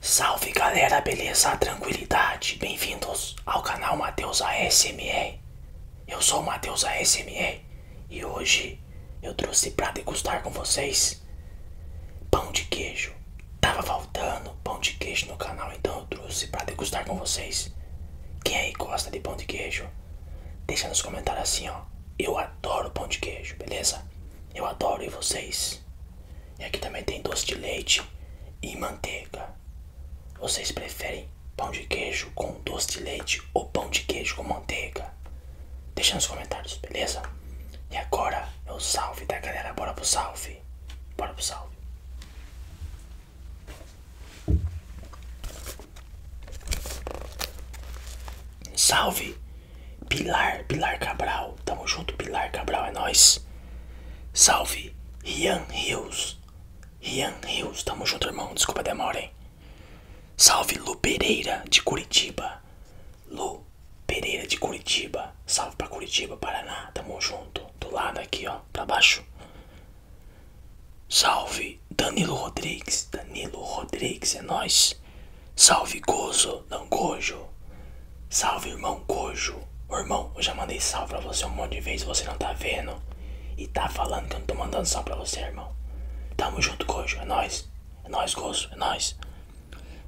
Salve galera, beleza? Tranquilidade? Bem-vindos ao canal Matheus ASME. Eu sou o Matheus ASME e hoje eu trouxe para degustar com vocês pão de queijo. Tava faltando pão de queijo no canal, então eu trouxe para degustar com vocês. Quem aí gosta de pão de queijo? Deixa nos comentários assim, ó. Eu adoro pão de queijo, beleza? Eu adoro e vocês? E aqui também tem doce de leite e manteiga. Vocês preferem pão de queijo com doce de leite ou pão de queijo com manteiga? Deixa nos comentários, beleza? E agora é o salve da galera, bora pro salve. Bora pro salve. Salve! Pilar, Pilar Cabral. Tamo junto, Pilar Cabral, é nóis. Salve! Rian Rios. Rian Rios, tamo junto, irmão. Desculpa a demora, hein? Salve Lu Pereira de Curitiba. Lu Pereira de Curitiba. Salve pra Curitiba, Paraná. Tamo junto. Do lado aqui, ó. Pra baixo. Salve Danilo Rodrigues, Danilo Rodrigues, é nós. Salve Gozo, não Gojo. Salve irmão Gojo. Ô, irmão, eu já mandei salve pra você um monte de vezes, você não tá vendo. E tá falando que eu não tô mandando salve pra você, irmão. Tamo junto, Gojo, é nós. É nós, Gozo, é nós.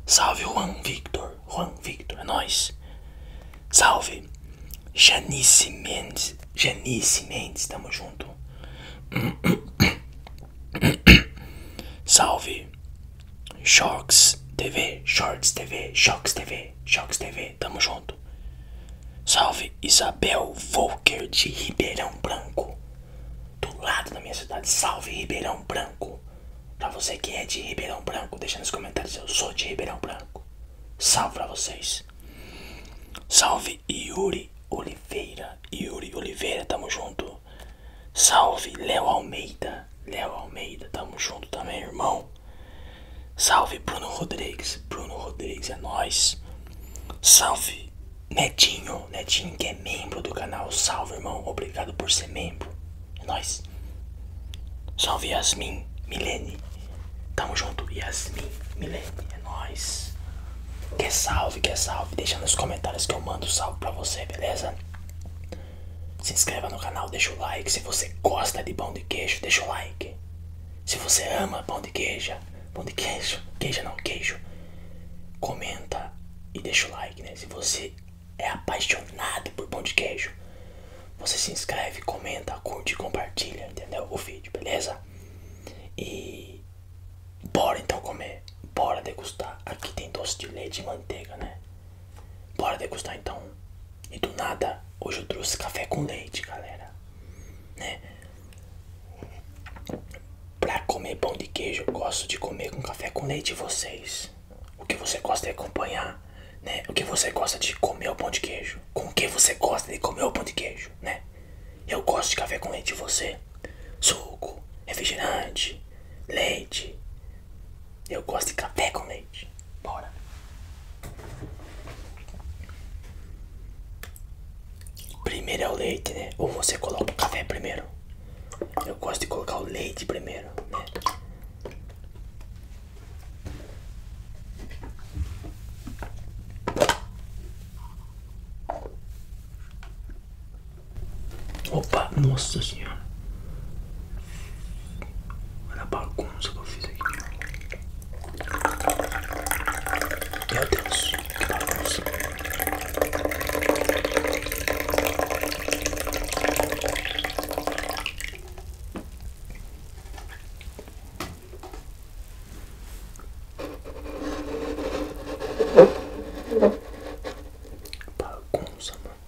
Salve Juan Victor, Juan Victor, é nós. Salve Janice Mendes, Janice Mendes, tamo junto. Salve Shorts TV, Shorts TV, Shorts TV, Shorts TV, tamo junto. Salve Isabel Volker de Ribeirão Branco, do lado da minha cidade. Salve Ribeirão Branco. Pra você que é de Ribeirão Branco, deixa nos comentários. Eu sou de Ribeirão Branco. Salve pra vocês. Salve salve Yuri Oliveira, Yuri Oliveira, tamo junto. Salve Léo Almeida, Léo Almeida, tamo junto também, irmão. Salve Bruno Rodrigues, Bruno Rodrigues é nós. Salve Netinho, Netinho que é membro do canal, salve irmão, obrigado por ser membro. É nós. Salve Yasmin, Milene, tamo junto, Yasmin, Milene, é nós. Quer salve, quer salve. Deixa nos comentários que eu mando salve pra você, beleza? Se inscreva no canal, deixa o like. Se você gosta de pão de queijo, deixa o like. Se você ama pão de queijo, pão de queijo, queijo não, queijo, comenta e deixa o like, né? Se você é apaixonado por pão de queijo, você se inscreve, comenta, curte e compartilha, entendeu? O vídeo, beleza? E Bora então comer, bora degustar. Aqui tem doce de leite e manteiga, né? Bora degustar então. E do nada, hoje eu trouxe café com leite, galera. Né? Pra comer pão de queijo, eu gosto de comer com café com leite vocês. O que você gosta de acompanhar, né? O que você gosta de comer o pão de queijo? Com o que você gosta de comer o pão de queijo? Né? Eu gosto de café com leite você? Suco, refrigerante, leite. Eu gosto de café com leite. Bora. Primeiro é o leite, né? Ou você coloca o café primeiro? Eu gosto de colocar o leite primeiro, né? Opa, nossa senhora. Olha a bagunça que eu fiz aqui. Meu Deus, que bagunça. Bagunça, mano.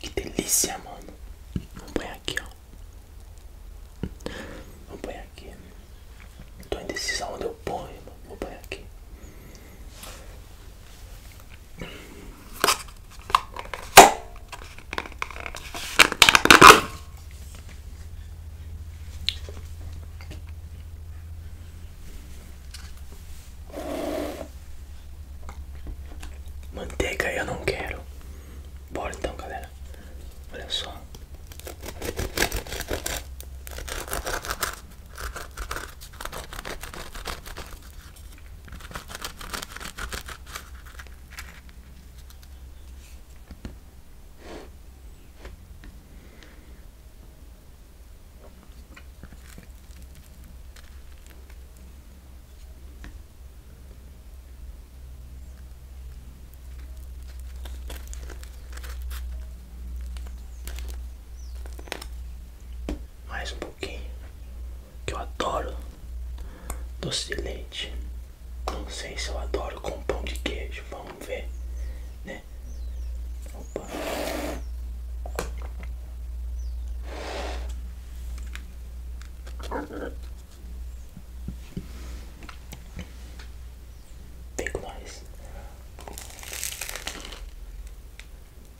Que delícia, mano. Vamos pôr aqui, ó. Vamos pôr aqui. Tô indecisa onde eu ponho, mano. Vou pôr aqui. Manteiga eu não quero. Bora então, galera. Olha só. Mais um pouquinho que eu adoro doce de leite. Não sei se eu adoro com pão de queijo, vamos ver, né? Opa. Tem mais.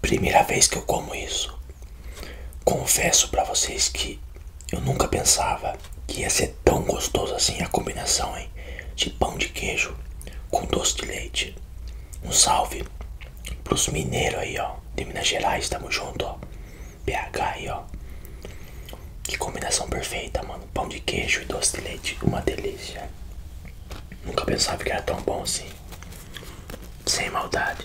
Primeira vez que eu como isso. Confesso para vocês que eu nunca pensava que ia ser tão gostoso assim a combinação hein? de pão de queijo com doce de leite. Um salve pros mineiros aí, ó. De Minas Gerais, tamo junto, ó. BH aí, ó. Que combinação perfeita, mano. Pão de queijo e doce de leite. Uma delícia. Nunca pensava que era tão bom assim. Sem maldade.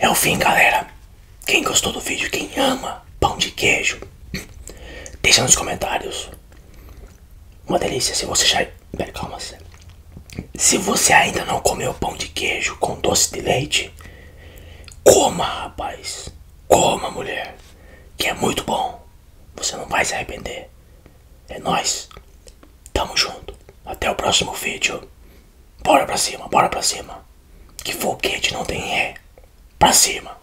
É o fim, galera. Quem gostou do vídeo, quem ama pão de queijo, deixa nos comentários. Uma delícia. Se você já. Pera, calma. -se. se você ainda não comeu pão de queijo com doce de leite, coma, rapaz. Coma, mulher. Que é muito bom. Você não vai se arrepender. É nós. Tamo junto. Até o próximo vídeo. Bora pra cima, bora pra cima. Que foguete não tem ré. Pra cima.